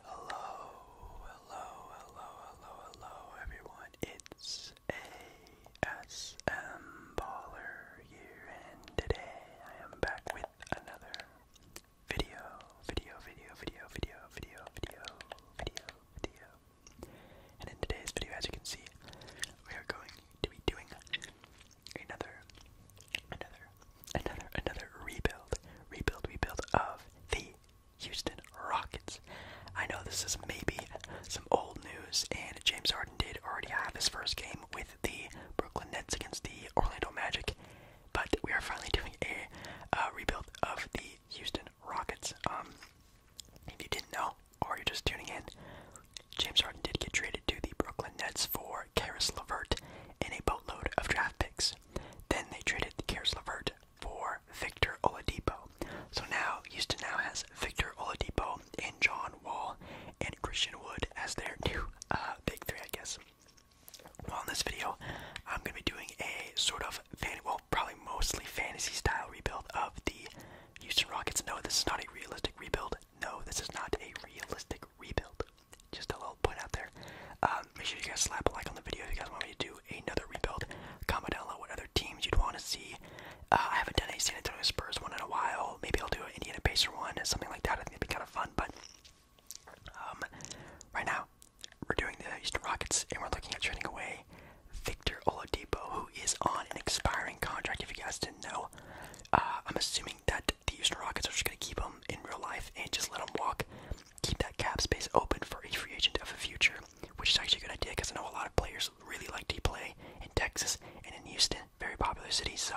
Hello, hello, hello, hello, hello, everyone. It's ASM Baller here, and today I am back with another video, video, video, video, video, video, video, video, video. And in today's video, as you can see, we are going to be doing another, another, another, another rebuild, rebuild, rebuild of the Houston Rockets. I know this is maybe some old news, and James Harden did already have his first game with the Brooklyn Nets against the Orlando Magic, but we are finally doing a rebuild of the Houston Rockets. Um, if you didn't know, or you're just tuning in, James Harden did get traded to the Brooklyn Nets for for Karis Levert and a boatload of draft picks. Then they traded Karis Lavert for Victor Oladipo. So now Houston now has Victor Oladipo and John Wall and Christian Wood as their new uh, big three, I guess. Well, in this video, I'm going to be doing a sort of, fan well, probably mostly fantasy-style rebuild of the Houston Rockets. No, this is not a realistic rebuild. No, this is not a realistic rebuild. Just a little point out there. Um, make sure you guys slap a like on the video if you guys want me to do another rebuild. Comment down below what other teams you'd want to see. Uh, I haven't done a San Antonio Spurs one in a while. Maybe I'll do an Indiana Pacer one, something like that. I think it'd be kind of fun. But um, right now, we're doing the Houston Rockets, and we're looking at trading away Victor Oladipo, who is on an expiring contract. If you guys didn't know, uh, I'm assuming that the Houston Rockets are just going to keep him in real life and just let them walk. Keep that cap space open for a free agent of the future, which is actually a good idea because I know a lot of players really like to play in Texas and in Houston, very popular cities. So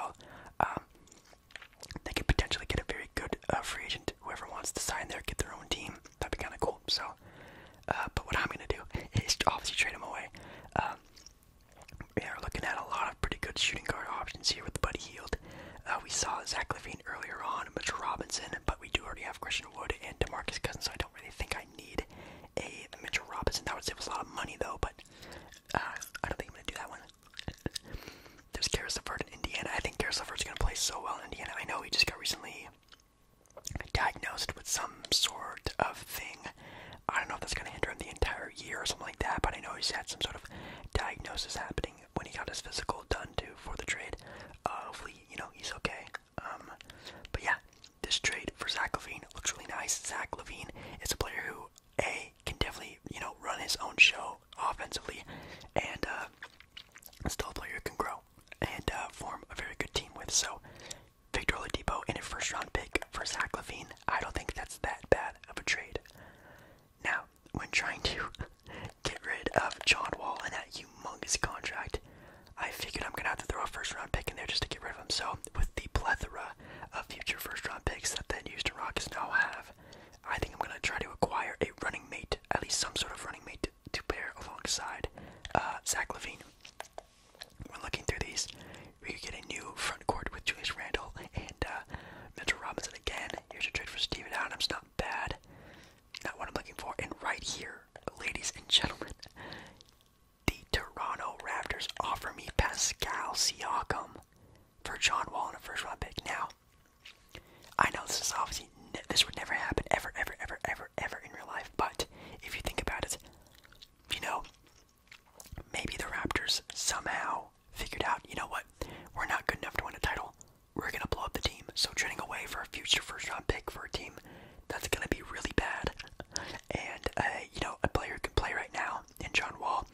um, they could potentially get a very good uh, free agent. Whoever wants to sign there, get their own team. That'd be kind of cool. So, uh, but what I'm gonna do is obviously trade them away. Um, we are looking at a lot of pretty good shooting guard options here with Buddy Heald. Uh, we saw Zach Levine earlier on, Mitch Robinson, but we do already have Christian Wood and DeMarcus Cousins, so I don't really think I need a Mitchell Robinson. That would save us a lot of money, though, but uh, I don't think I'm going to do that one. There's Karis LeVert in Indiana. I think Karis is going to play so well in Indiana. I know he just got recently diagnosed with some sort of thing. I don't know if that's going to hinder him the entire year or something like that. But I know he's had some sort of diagnosis happening when he got his physical done too for the trade. Uh, hopefully, you know he's okay. Um, but yeah, this trade for Zach Levine looks really nice. Zach Levine is a player who a can definitely you know run his own show offensively, and uh, still a player who can grow and uh, form a very good team with. So. Victor Oladipo and a first round pick for Zach Levine. I don't think that's that bad of a trade. Now, when trying to get rid of John Wall and that humongous contract, I figured I'm gonna have to throw a first round pick in there just to get rid of him. So, with the plethora of future first round picks that the Houston Rockets now have, I think I'm gonna try to acquire a running mate, at least some sort of running mate to, pair alongside uh, Zach Levine. When looking through these, you get a new front court with Julius Randle and uh, Mitchell Robinson again. Here's a trade for Steven Adams. Not bad. Not what I'm looking for. And right here, ladies and gentlemen, the Toronto Raptors offer me Pascal Siakam for John Wall in a first round pick. Now, I know this is obviously this would never happen ever, ever, ever, ever, ever in real life. But if you think about it, you know, Maybe the Raptors somehow figured out, you know what, we're not good enough to win a title. We're gonna blow up the team. So trading away for a future first round pick for a team that's gonna be really bad, and uh, you know a player who can play right now in John Wall.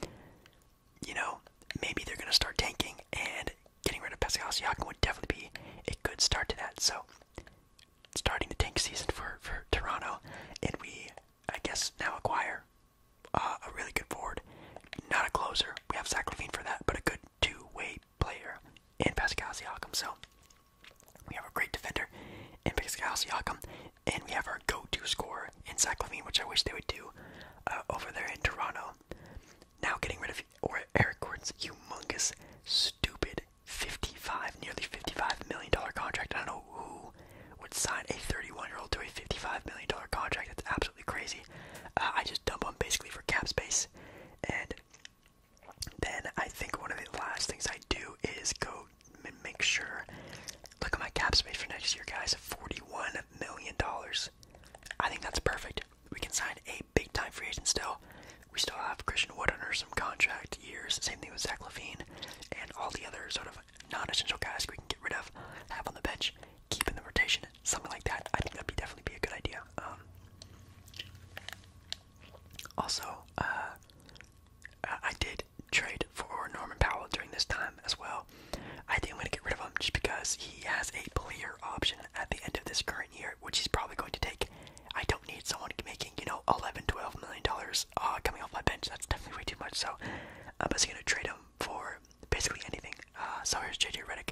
You know maybe they're gonna start tanking and getting rid of Pascal Siakam would definitely be a good start to that. So starting the tank season for for Toronto, and we I guess now acquire uh, a really good forward, not a closer. We have Zach Levine for that, but a good two-way player in Pascal Siakam. So we have a great defender in Pascal Siakam, and we have our go-to scorer in Zach Levine, which I wish they would do uh, over there in Toronto. Now getting rid of or Eric Gordon's humongous, stupid fifty-five, nearly fifty-five million dollar contract. I don't know who would sign a 31 year old to a 55 million dollar contract. That's absolutely crazy. Uh, I just dump them basically for cap space, and then I think one of the last things I do is go and make sure. Look at my cap space for next year, guys. 41 million dollars. I think that's perfect. We can sign a big time free agent still. We still have Christian Wood under some contract years. Same thing with Zach Levine and all the other sort of non-essential guys we can get rid of, have on the bench, keep in the rotation, something like that. I think that'd be definitely be a good idea. Um, also, uh, I did trade for Norman Powell during this time as well. I think I'm going to get rid of him just because he has a player option at the end of this current year, which he's probably going to take. I don't need someone making, you know, 11, 12 million dollars uh, coming off my bench. That's definitely way too much. So I'm basically gonna trade him for basically anything. Uh, so here's JJ Redick,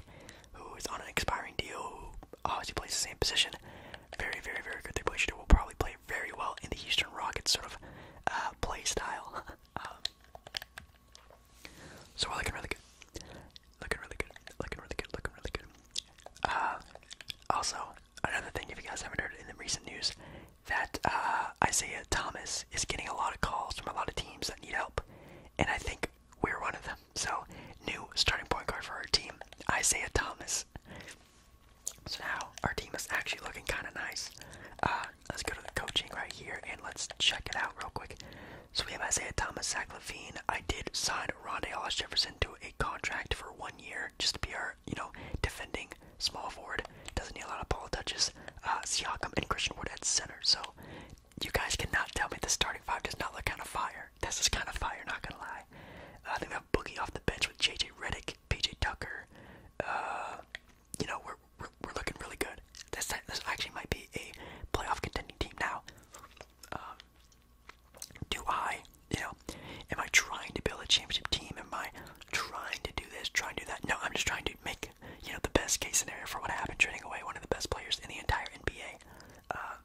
who is on an expiring deal. Who obviously plays the same position. Very, very, very good They point shooter. Will probably play very well in the Eastern Rockets sort of uh, play style. Um, so looking really good. Looking really good. Looking really good. Looking really good. Uh, also, another thing, if you guys haven't heard in the recent news, that uh, Isaiah Thomas is getting a lot of calls from a lot of teams that need help, and I think we're one of them. So, new starting point guard for our team, Isaiah Thomas. So now our team is actually looking kind of nice. Uh, let's go to the coaching right here and let's check it out real quick. So we have Isaiah Thomas, Zach Levine. I did sign Rondé Hollis Jefferson to a contract for one year, just to be our you know, defending small forward. Doesn't need a lot of ball touches. Uh, Siakam and Christian Wood at center. So you guys cannot tell me the starting five does not look kind of fire. This is kind of fire, not gonna lie. Uh, I think we have Boogie off the bench with JJ Redick, PJ Tucker. Uh, you know, we're, we're, looking really good. This, this actually might be a playoff contending team now. Um, do I, you know, am I trying to build a championship team? Am I trying to do this, trying to that. No, I'm just trying to make you know the best case scenario for what happened, trading away one of the best players in the entire NBA. Uh,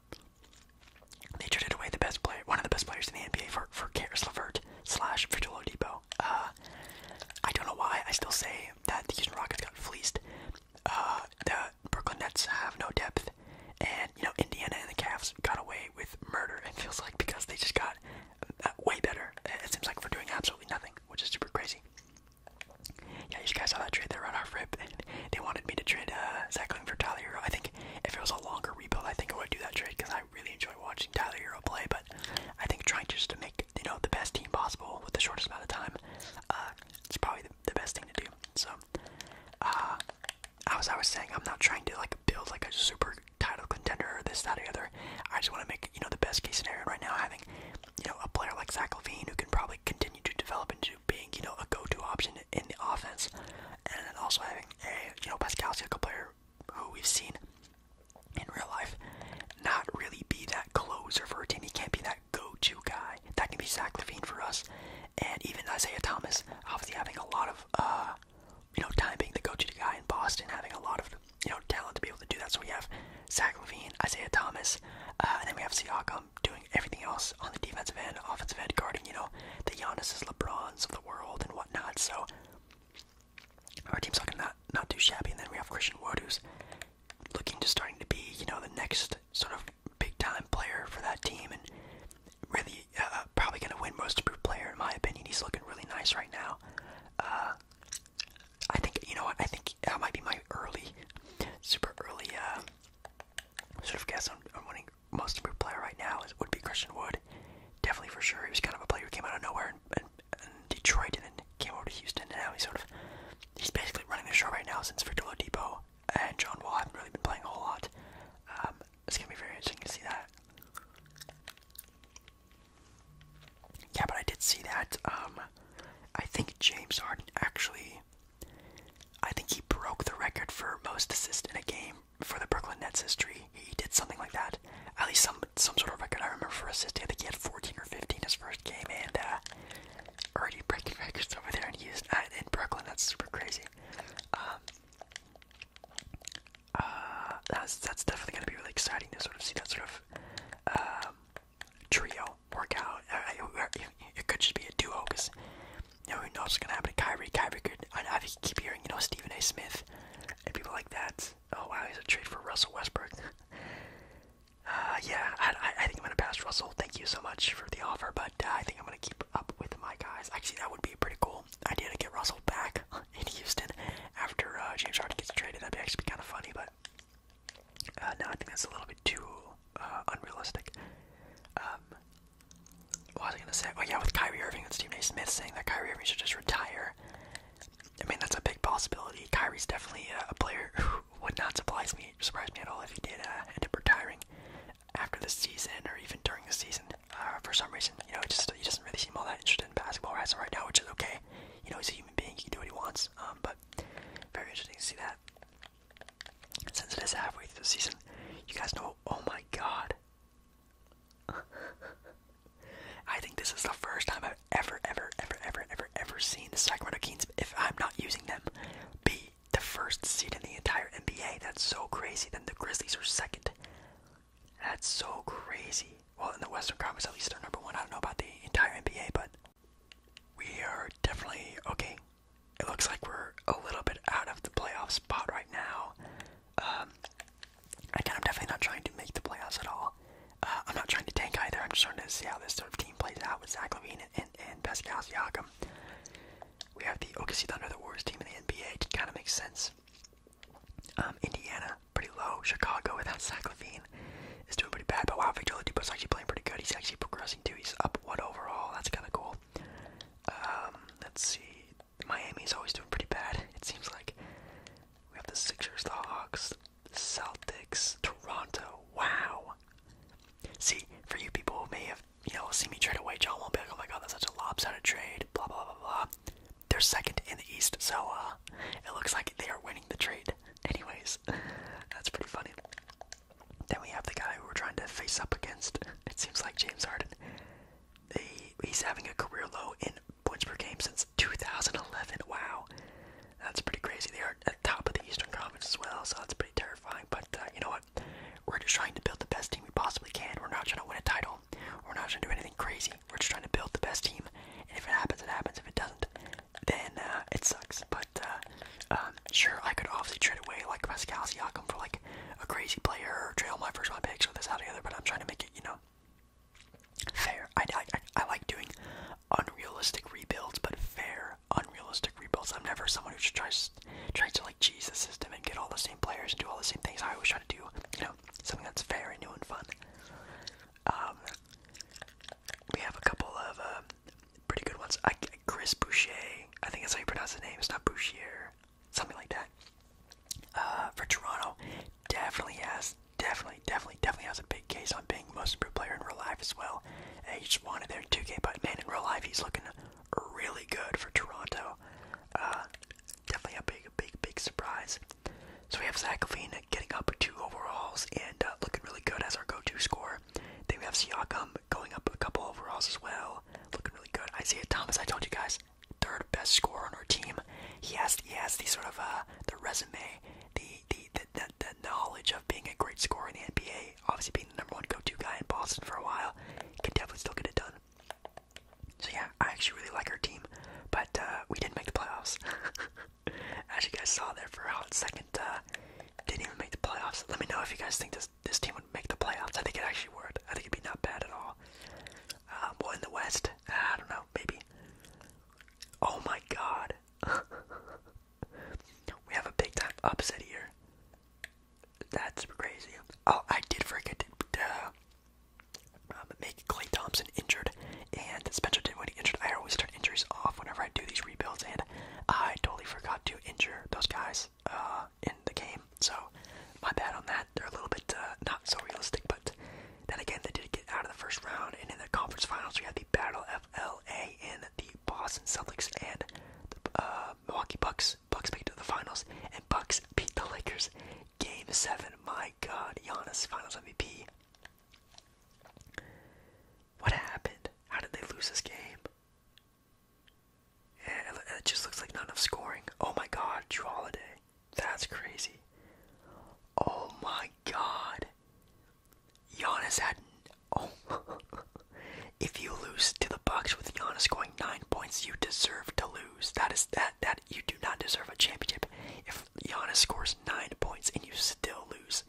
they traded away the best player, one of the best players in the NBA for for Karis LeVert slash Virgil Oladipo. Uh, I don't know why. I still say that the Houston Rockets got fleeced. Uh, the Brooklyn Nets have no depth, and you know Indiana and the Cavs got away with murder. It feels like because they just got uh, way better. It seems like we're doing absolutely nothing, which is super crazy. Yeah, you guys saw that trade there right off rip. And they wanted me to trade uh, Zach Ling for Tyler I think if it was a longer rebuild, I think I would do that trade because I really enjoy watching Tyler play. But I think trying just to make you know the best team possible with the shortest amount of time, uh, it's probably the best thing to do. So, uh, as I was saying, I'm not trying to like build like a super title contender, this, that, or other. I just want to make, you know, the best case scenario right now, having, you know, a player like Zach Levine who can probably continue to develop into being, you know, a go-to option in the offense, and then also having a, you know, Pascal Siakam player who we've seen in real life not really be that closer for a team. He can't be that go-to guy. That can be Zach Levine for us, and even Isaiah Thomas, obviously having a lot of, uh, you know, time being the coach of the guy in Boston, having a lot of, you know, talent to be able to do that. So we have Zach Levine, Isaiah Thomas, uh, and then we have Siakam doing everything else on the defensive end, offensive end, guarding, you know, the Giannis's, LeBrons of the world and whatnot. So our team's looking not, not too shabby. And then we have Christian Wood, who's looking to starting to be, you know, the next sort of big-time player for that team and really uh, probably gonna win most improved player in my opinion. He's looking really nice right now. Uh, I think you know what? I think that might be my early, super early uh, sort of guess on, on winning most improved player right now is, would be Christian Wood. Definitely for sure. He was kind of a player who came out of nowhere in, Detroit and then came over to Houston, and now he's sort of he's basically running the show right now since Victor Oladipo and John Wall haven't really been playing a whole lot. Um, it's gonna be very interesting to see that. Yeah, but I did see that. Um, I think James Harden actually, I think he broke the record for most assists in a game for the Brooklyn Nets history. He did something like that. At least some some sort of record I remember for assists, I think he had 14 or 15 his first game, and uh, already breaking records over there in Houston, uh, in Brooklyn. That's super crazy. Um, uh, that's that's definitely gonna be really exciting to sort of see that sort of um, trio work out. It, could just be a duo because no one knows what's gonna happen to Kyrie. Kyrie could I, keep hearing you know Stephen A. Smith and people like that. Oh wow, he's a trade for Russell Westbrook. Uh, yeah, I, I, think I'm gonna pass Russell. Thank you so much for the offer, but uh, I think I'm gonna keep up with my guys. Actually, that would be a pretty cool idea to get Russell back. in Houston after uh, James Harden gets traded. That'd actually be kind of funny, but uh, I think that's a little bit too uh, unrealistic. Um, what was I gonna say? Oh yeah, with Kyrie Irving and Stephen A. Smith saying that Kyrie Irving should just retire. I mean, that's a big possibility. Kyrie's definitely a player who would not surprise me, surprise me at all if he did uh, end up retiring after the season or even during the season. Uh, for some reason, you know, just he doesn't really seem all that interested in basketball right, so right now, which is okay. You know, he's a human being; he can do what he wants. Um, but very interesting to see that. Since it is halfway through the season, you guys know. Oh my God! I think this is the first time I've ever, ever, ever, ever, ever, ever seen the Sacramento Kings, if I'm not using them, be the first seed in the entire NBA. That's so crazy. Then the Grizzlies are second. That's so crazy. Well, in the Western Conference, at least they're number one. I don't know about the entire NBA, but we are definitely okay. It looks like we're a little bit out of the playoff spot right now. Um, again, I'm definitely not trying to make the playoffs at all. Uh, I'm not trying to tank either. I'm just trying to see how this sort of team plays out with Zach Levine and, and, and Pascal Siakam. We have the OKC Thunder, the Warriors team in the NBA. It kind of makes sense. Um, Indiana, pretty low. Chicago without Saclavine is doing pretty bad. But wow, Victor Oladipo's actually playing pretty good. He's actually progressing too. He's up one overall. That's kind of cool. Um, let's see. Miami Miami's always doing pretty bad. It seems like we have the Sixers, the Hawks, Celtics, Toronto. Wow. See, for you people who may have, you know, seen me trade away John Wall, be like, oh my god, that's such a lopsided trade. Blah blah blah blah. They're second in the East, so uh, it looks like they are winning the trade. Anyways, that's pretty funny. Then we have the guy we're trying to face up against. It seems like James Harden. He, he's having a career low in points per game since 2011. Wow, that's pretty crazy. They are at the top of the Eastern Conference as well, so that's pretty terrifying. But uh, you know what? We're just trying to build the best team we possibly can. We're not trying to win a title we're not going to do anything crazy. We're just trying to build the best team. And if it happens, it happens. If it doesn't, then uh, it sucks. But uh, um, sure, I could obviously trade away like Pascal Siakam for like a crazy player or trail my first round picks so this out together. But I'm trying to make it, you know, fair. I, I, I like doing unrealistic rebuilds, but fair unrealistic rebuilds. I'm never someone who just tries tries to like cheese the system and get all the same players and do all the same things I always try to do. You know, something that's very new and fun. Um, we have a couple of uh, pretty good ones. I, Chris Boucher, I think that's how you pronounce the name. It's not Bouchier, something like that. Uh, for Toronto, definitely has, definitely, definitely, definitely has a big case on being most improved player in real life as well. And he just wanted there 2K, but man, in real life, he's looking really good for Toronto. Uh, definitely a big, big, big surprise. So we have Zach Levine getting up two overalls and uh, looking really good as our go-to score. Then we have Siakam going up a couple overalls as well, looking really good. Isaiah Thomas, I told you guys, third best scorer on our team. He has he has the sort of uh, the resume, the the, the the knowledge of being a great scorer in the NBA. Obviously, being the number one go-to guy in Boston for a while, can definitely still get it done. So yeah, I actually really like our team, but uh, we didn't make the playoffs. As you guys saw there for a hot second, uh, didn't even make the playoffs. Let me know if you guys think this this team would make the playoffs. I think it actually worked. I think it'd be not bad at all. Um, well, in the West, I don't know, maybe. Oh my God, we have a big time upset here. That's super crazy. Oh, I did forget to uh, um, make Clay Thompson injured and Spencer Dinwiddie injured. I always turn injuries off whenever I do these rebuilds, and I totally forgot to injure those guys uh, in the game. So my bad on that. They're a little bit uh, not so realistic, but then again, they did get out of the first round, and in the conference finals, we had the Battle of LA and the Boston Celtics and the uh, Milwaukee Bucks. Bucks made it to the finals, and Bucks beat the Lakers Game 7, my god, Giannis Finals MVP. What happened? How did they lose this game? Yeah, it just looks like not enough scoring. Oh my god, Drew Holiday. That's crazy. Oh my god. Giannis had. Oh. if you lose to the Bucks with Giannis scoring 9 points, you deserve to lose. That is. That that you do not deserve a championship. If Giannis scores nine points and you still lose,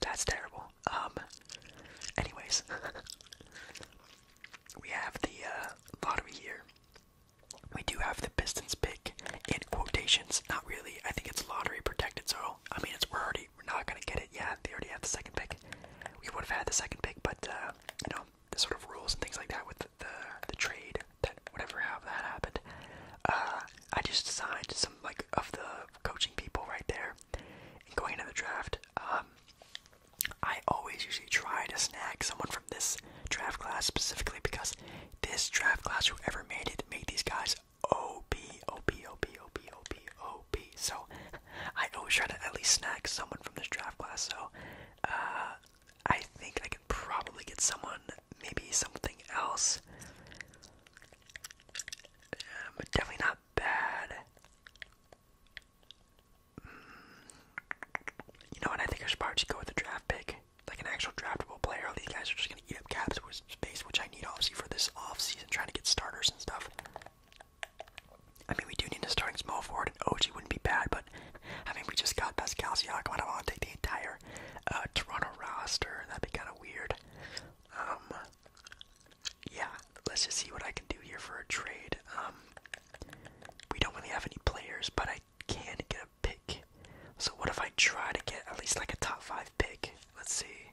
that's terrible. Um. Anyways, we have the uh, lottery here. We do have the Pistons pick in quotations. Not really. I think it's lottery protected, so I mean, it's we're already we're not gonna get it. Yeah, they already have the second pick. We would have had the second pick, but uh, you know, the sort of rules and things like that with the the, the trade that whatever have that happened. Uh, I just signed some like of the coaching people right there, and going into the draft, um, I always usually try to snag someone from this draft class specifically because this draft class, whoever made it, made these guys OP, OP, OP, OP, OP, OP. So I always try to at least snag someone from this draft class. So uh, I think I could probably get someone, maybe something else. Um, but definitely not bad. Mm. You know what? I think I should probably just go with the draft pick, like an actual draftable player. these guys are just gonna eat up cap space, which I need obviously for this off season, trying to get starters and stuff. I mean, we do need a starting small forward, and OG wouldn't be bad, but I mean, we just got Pascal Siakam. I don't want to take the entire uh, Toronto roster. That'd be kind of weird. Um, yeah, let's just see what I can do here for a trade. Um, we don't really have any players, but I can get a pick. So what if I try to get at least like a top five pick? Let's see.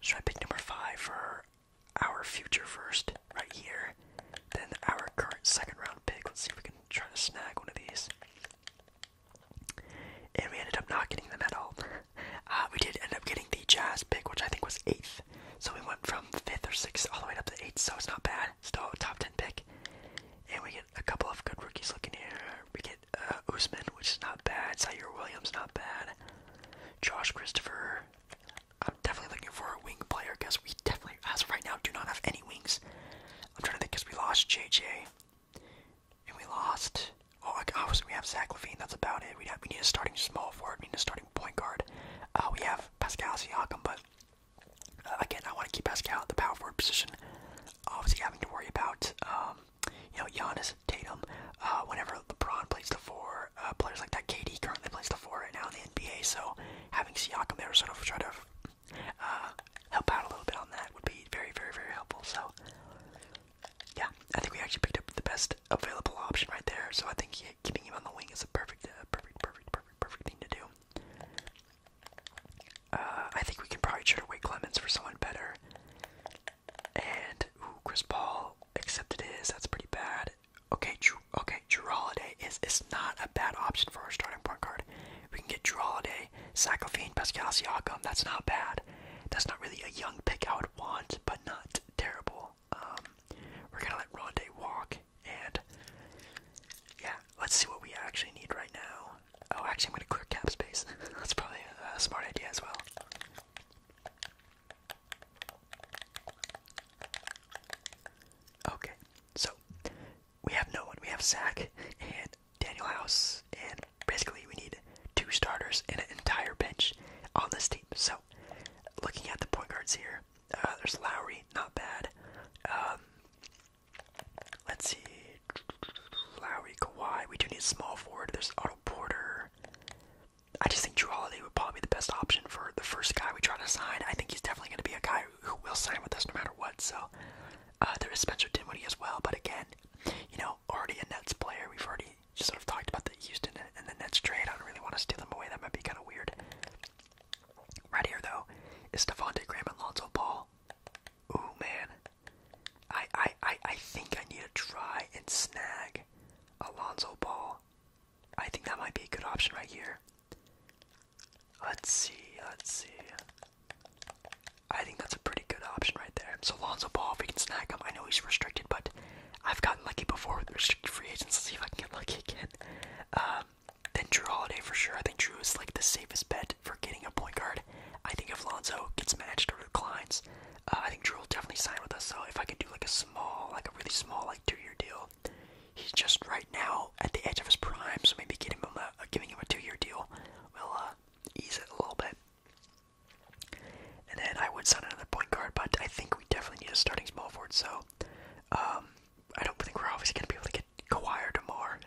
Should I pick number five for our future first right here, then our current second round pick. Let's see if we can try to snag one of these. And we ended up not getting them at all. Uh, we did end up getting the Jazz pick, which I think was eighth. So we went from fifth or sixth all the way up to eighth. So it's not bad. Still a top ten pick. And we get a couple of good rookies looking here. We get uh, Usman, which is not bad. Zaire Williams, not bad. Josh Christopher, I'm definitely looking for a wing player because we definitely, as of right now, do not have any wings. I'm trying to think because we lost JJ, and we lost. Oh, obviously we have Zach Levine. That's about it. We have we need a starting small forward. We need a starting point guard. Uh, we have Pascal Siakam, but uh, again, I want to keep Pascal at the power forward position. Obviously, having to worry about um, you know Giannis, Tatum, uh, whenever LeBron plays the four for uh, players like that. KD currently plays the four right now in the NBA, so having Siakam there sort of try to uh, help out a little bit on that would be very, very, very helpful. So yeah, I think we actually picked up the best available option right there. So I think yeah, keeping him on the wing is a perfect, uh, perfect, perfect, perfect, perfect thing to do. Uh, I think we can probably trade away Clemens for someone better. And ooh, Chris Paul accepted his. That's pretty bad okay, Drew, okay, Drew Holiday is is not a bad option for our starting point guard. We can get Drew Holiday, Saclafine, Pascal Siakam. That's not bad. That's not really a young pick I would want, but not terrible. Um, we're gonna let Rondé walk, and yeah, let's see what we actually need right now. Oh, actually, I'm gonna clear cap space. That's probably a smart idea as well. Okay, so we have no one. We have Zach and Daniel House, and basically we need two starters and an entire bench on this team. So, looking at the point guards here, uh, there's Lowry, not bad. Um, let's see, Lowry, Kawhi. We do need small forward. There's Otto Porter. I just think Drew Holiday would probably be the best option for the first guy we try to sign. I think he's definitely going to be a guy who will sign with us no matter what. So uh, there is Spencer Dinwiddie as well, but again, you know, already a Nets player. We've already just sort of talked about the Houston and the Nets trade. I don't really want to steal them away. That might be kind of weird. Right here though is Devontae Graham and Lonzo Ball. Ooh man, I I I I think I need to try and snag Alonzo Ball I think that might be a good option right here. Let's see, let's see. I think that's a pretty good option right there. So Lonzo Ball, if we can snag him, I know he's restricted, but I've gotten lucky before with restricted free agents. Let's see if I can get lucky again. Um, then Drew Holiday for sure. I think Drew is like the safest bet for getting a point guard. I think if Lonzo gets matched or declines, uh, I think Drew will definitely sign with us, so if I can do like a small, like a really small, like two-year deal, he's just right now at the edge of his prime, so maybe getting him a, uh, giving him a two-year deal will uh, ease it a little bit. And then I would sign another point guard, but I think we definitely need a starting small forward, so um, I don't think we're obviously going to be able to get Kawhi or DeMar,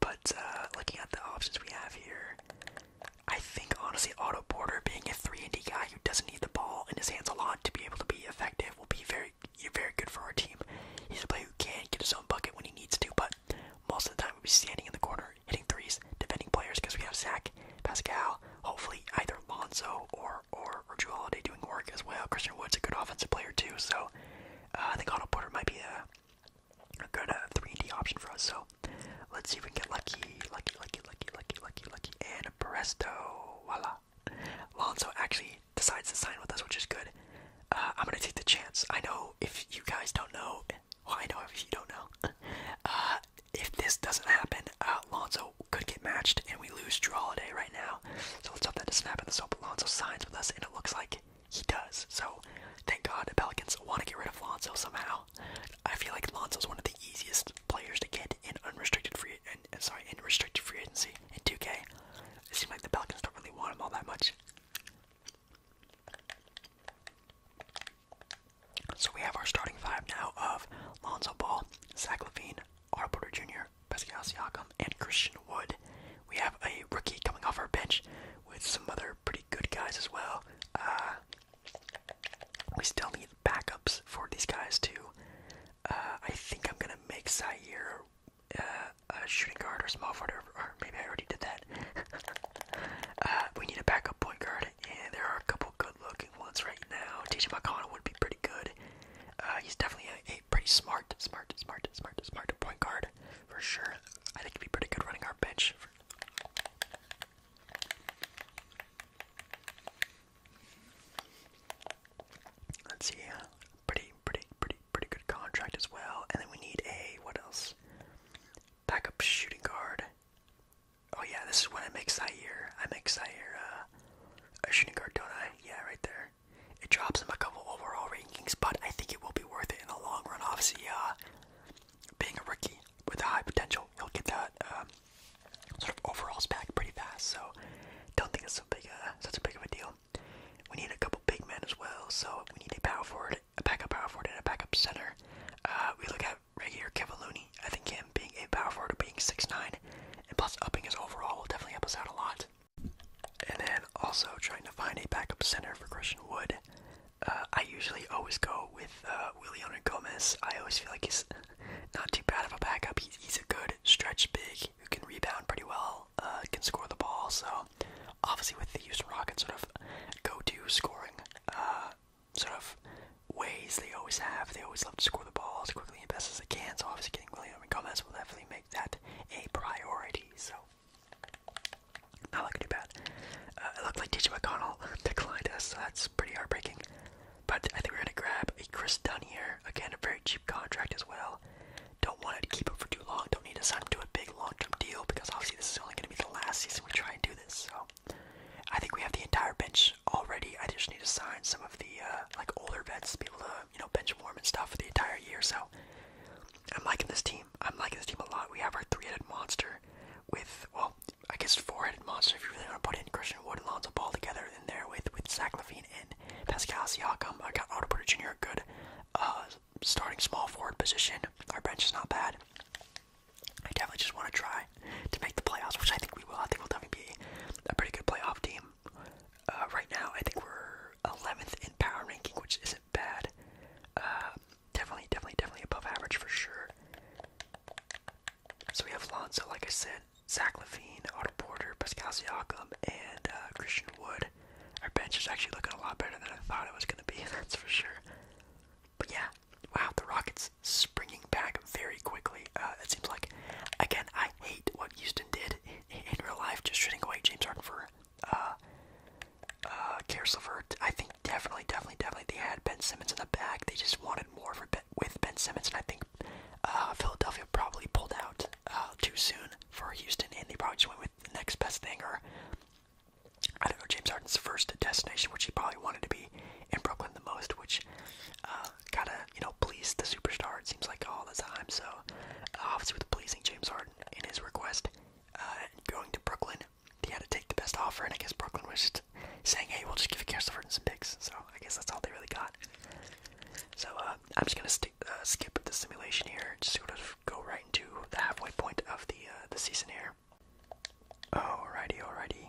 but looking at the options we have here, I think honestly Otto Porter being a 3 and D guy who doesn't need the ball in his hands a lot to be able to be effective will be very very good for our team. He's a player who can get his own bucket when he needs to, but most of the time we'll be standing in the corner, hitting threes, defending players because we have Zach, Pascal, hopefully either Lonzo or or, or Drew Holiday doing work as well. Christian Wood's a good offensive player too, so uh, I think Otto Porter might be a, good 3D uh, option for us. So let's see if we can get lucky, lucky, lucky, lucky, lucky, lucky, lucky, and and voila. Lonzo actually decides to sign with us, which is good. Uh, I'm gonna take the chance. I know if you guys don't know, well, I know if you don't know. Uh, if this doesn't happen, uh, Lonzo could get matched and we lose Drew Holiday right now. So let's hope that doesn't happen. Let's hope Lonzo signs with us, and it looks like he does. So thank God the Pelicans want to get rid of Lonzo somehow. I feel like Lonzo is one of the easiest players to get in unrestricted free and uh, sorry in restricted free agency in 2K. It seems like the Pelicans don't really want him all that much. So we have our starting five now of Lonzo Ball, Zach Levine, R. Porter Jr., Pascal Siakam, and Christian Wood. We have a rookie coming off our bench with some other pretty good guys as well. Uh, we still need backups for these guys too. Uh, I think I'm gonna make Zaire uh, a shooting guard or small forward, or, maybe I already did that. Uh, we need a backup point guard, and there are a couple good-looking ones right now. TJ McConnell would be pretty good. he's definitely a, pretty smart, smart, smart, smart, smart point guard for sure. I think he'd be pretty good running our bench. Let's see, pretty, pretty, pretty, pretty good contract as well. And then we need a what else? Backup shooting guard. Oh yeah, this is when I make Zaire. I make Zaire uh, a shooting guard, don't I? Yeah, right there. It drops him a couple overall rankings, but I think it will be worth it in the long run. Obviously, uh, being a rookie with a high potential, he'll get that um, sort of overalls back pretty fast, so don't think it's so big such a big of a deal. We need a couple big men as well, so we need a power forward, a backup power forward, and a backup center. Uh, we look at right here, Kevin I think him being a power forward, being six nine, and plus upping his overall will definitely help us out a lot. And then also trying to find a backup center for Christian Wood. Uh, I usually always go with uh, Willian Gomez. I always feel like he's not too bad of a backup. He's, a good stretch big who can rebound pretty well, uh, can score the ball. So obviously with the Houston Rockets sort of go-to scoring uh, sort of ways they always have, they always love to score the ball as quickly and best as they can. So obviously getting William and Gomez will definitely make that a priority. So not looking too bad. Uh, it looked like DJ McConnell declined us, so that's pretty heartbreaking. But I think we're going to grab a Chris Dunn here. Again, a very cheap contract as well. Don't want to keep him for too long. Don't need to sign him to a big long term deal because obviously this is only going to be the last season we try and do this. So I think we have the entire bench already. I just need to sign some of the uh, like older vets to be able to you know bench warm and stuff for the entire year. So I'm liking this team. I'm liking this team a lot. We have our three-headed monster with well I guess four-headed monster if you really want to put in Christian Wood and Lonzo Ball together in there with with Zach Levine and Pascal Siakam. I got Otto Porter Jr. a good uh, starting small forward position. Our bench is not bad. I definitely just want to try to make the playoffs, which I think we will. I think we'll definitely be a pretty good playoff team. Uh, right now, I think we're 11th in power ranking, which isn't bad. Uh, definitely, definitely, definitely above average for sure. So we have Lonzo, like I said, Zach Levine, Otto Porter, Pascal Siakam, and uh, Christian Wood. Our bench is actually looking a lot better than I thought it was going to be, that's for sure. But yeah, wow, the Rockets springing back very quickly. Uh, it seems like, again, I hate what Houston did in, real life, just trading away James Harden for uh, uh, Karis LeVert. I think definitely, definitely, definitely, they had Ben Simmons in the back. They just wanted more for ben, with Ben Simmons, and I think uh, Philadelphia probably pulled out uh, too soon for Houston, and they probably just went with the next best thing, or I don't know, James Harden's first destination, which he probably wanted to be in Brooklyn the most, which uh, kind of, you know, pleased the superstar, it seems like, all the time. So, uh, obviously, with pleasing James Harden in his request, uh, going to Brooklyn they had to take the best offer, and I guess Brooklyn was just saying, "Hey, we'll just give you Karis LeVert and some picks." So I guess that's all they really got. So uh, I'm just gonna uh, skip the simulation here, just sort of go right into the halfway point of the uh, the season here. Alrighty, alrighty.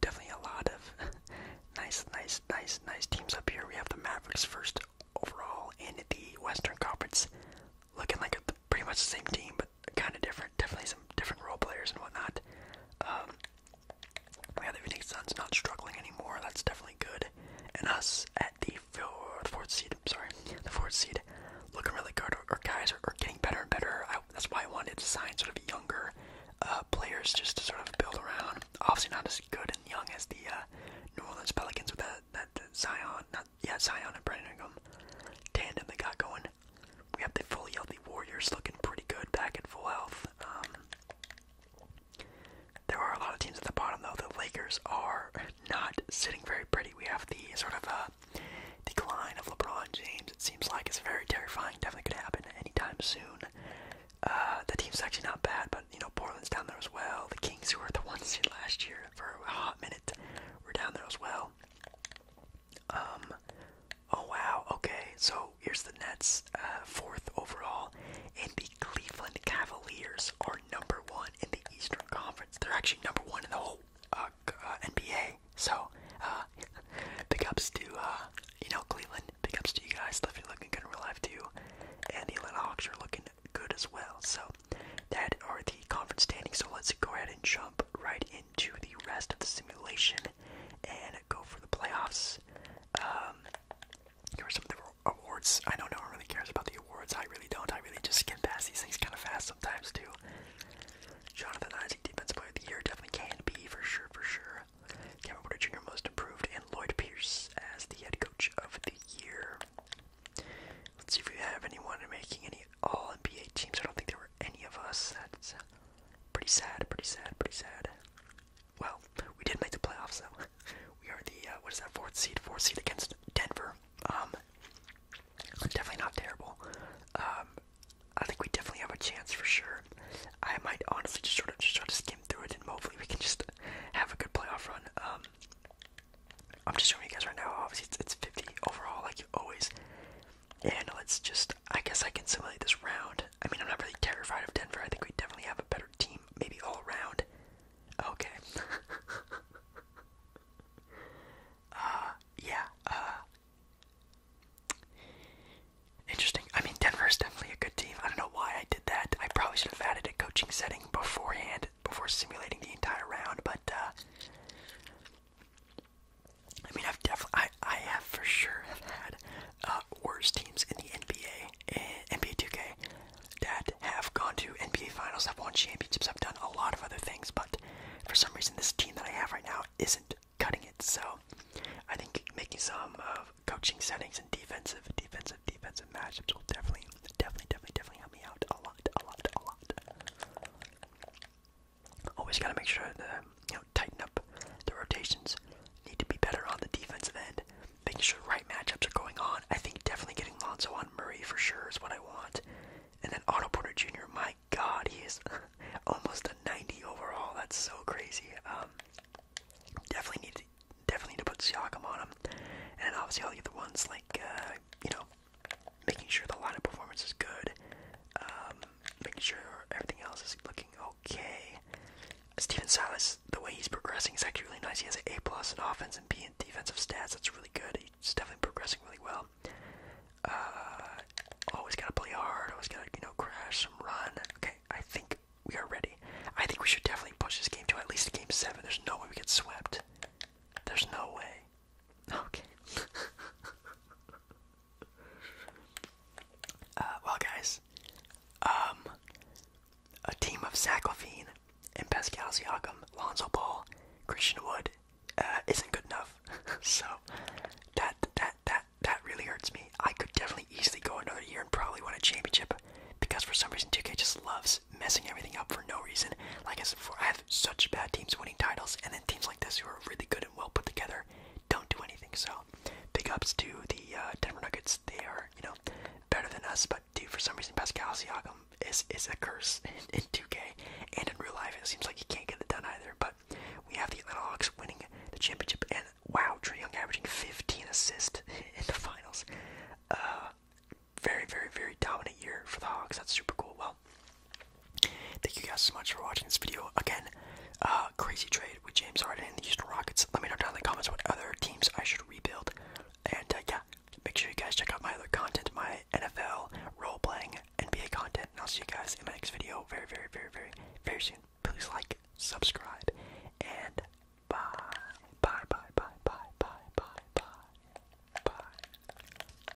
definitely a lot of nice, nice, nice, nice teams up here. We have the Mavericks first overall in the Western Conference, looking like pretty much the same team, kind of different. Definitely some different role players and whatnot. Um, yeah, the Phoenix Suns not struggling anymore. That's definitely good. And us at the fourth, seed. sorry, the fourth seed, looking really good. Our, guys are, getting better and better. that's why I wanted to sign sort of younger uh, players just to sort of build around. Obviously, not as good and young as the uh, New Orleans Pelicans with that that, Zion, not yeah Zion and Brandon Ingram tandem they got going. We have the fully healthy Warriors looking pretty good back at full health. Um, there are a lot of teams at the bottom though. The Lakers are not sitting very pretty. We have the sort of uh, decline of LeBron James. It seems like it's very terrifying. Definitely could happen anytime soon. Uh, the team's actually not bad, but you know Portland's down there as well. The Kings, who were the ones seed last year for a hot minute, were down there as well. Um, oh wow, okay, so here's the Nets, uh, fourth overall, and the Cleveland Cavaliers are number one in the Eastern Conference. They're actually number one in the whole uh, uh, NBA. So, uh, big ups to, uh, you know, Cleveland. Big ups to you guys. Lefty looking good in real life, too. And the Atlanta Hawks are looking good as well. So, that are the conference standings. So, let's go ahead and jump right in. To the rest of the simulation and go for the playoffs. Um, here are some of the awards. I know no one really cares about the awards. I really don't. I really just skim past these things kind of fast sometimes too. Jonathan Isaac, Defensive Player of the Year, definitely can be for sure, for sure. Cameron Porter Jr. Most Improved, and Lloyd Pierce as the Head Coach of the Year. Let's see if we have anyone making any All NBA teams. I don't think there were any of us. That's pretty sad, pretty sad, pretty sad. Well, we did make the playoffs, so We are the, uh, what is that, fourth seed? Fourth seed against Denver. Um, definitely not terrible. Um, I think we definitely have a chance for sure. I might honestly just sort of just try to skim through it, and hopefully we can just have a good playoff run. Um, I'm just showing you guys right now. Obviously, it's, it's 50 overall, like always. Yeah, no, it's just, I guess I can simulate this round. I mean, I'm not really terrified of Denver. I think we definitely have a better team, maybe all around. Okay. uh, yeah, uh. Interesting. I mean, Denver is definitely a good team. I don't know why I did that. I probably should have added a coaching setting beforehand, before simulating the entire round, but, uh. I mean, I've definitely, I, I have for sure had uh, worse teams in the NBA, and eh, NBA 2K, that have gone to NBA Finals, have won championships, have done a lot of other things, but for some reason, this team that I have right now isn't cutting it. So, I think making some uh, coaching settings and defensive, defensive, defensive matchups will definitely, definitely, definitely, definitely help me out a lot, a lot, a lot. Always got to make sure to you know tighten up the rotations. Need to be better on the defensive end, making sure the right matchups are going on. I think definitely getting Lonzo on Murray for sure is what I want. And then Otto Porter Jr. My God, he is almost a 90 overall. That's so crazy. Um, definitely need to definitely to put Siakam on him. And then obviously all the other ones like uh, you know making sure the line of performance is good, um, making sure everything else is looking okay. Stephen Silas, the way he's progressing is actually really nice. He has an A plus in offense and B in defensive stats. That's really good. He's definitely progressing really well. Uh, always gotta play hard. Always gotta you know crash some run. Okay, I think we are ready. I think we should definitely push this game to at least game seven. There's no way we get swept. There's no way. Okay. uh, well, guys, um, a team of Zach Levine and Pascal Siakam, Lonzo Ball, Christian Wood, uh, isn't good enough. so that that that that really hurts me. I could definitely easily go another year and probably win a championship because for some reason 2K just loves messing everything up for no reason. Like I said before, I have such bad teams winning titles, and then teams like this who really good and well put together, don't do anything. So, big ups to the uh, Denver Nuggets. They are, you know, better than us, but for some reason, Pascal Siakam is is a curse in, 2K and in real life. It seems like he can't get it done either. But we have the Atlanta Hawks winning the championship, and wow, Trey Young averaging 15 assists in the finals. Uh, very, very, very dominant year for the Hawks. That's super cool. Well Thank you guys so much for watching this video. Again, uh, crazy trade with James Harden and the Houston Rockets. Let me know down in the comments what other teams I should rebuild. And uh, yeah, make sure you guys check out my other content, my NFL role playing NBA content. And I'll see you guys in my next video very, very, very, very, very soon. Please like, subscribe, and bye. Bye, bye, bye, bye, bye, bye, bye. Bye.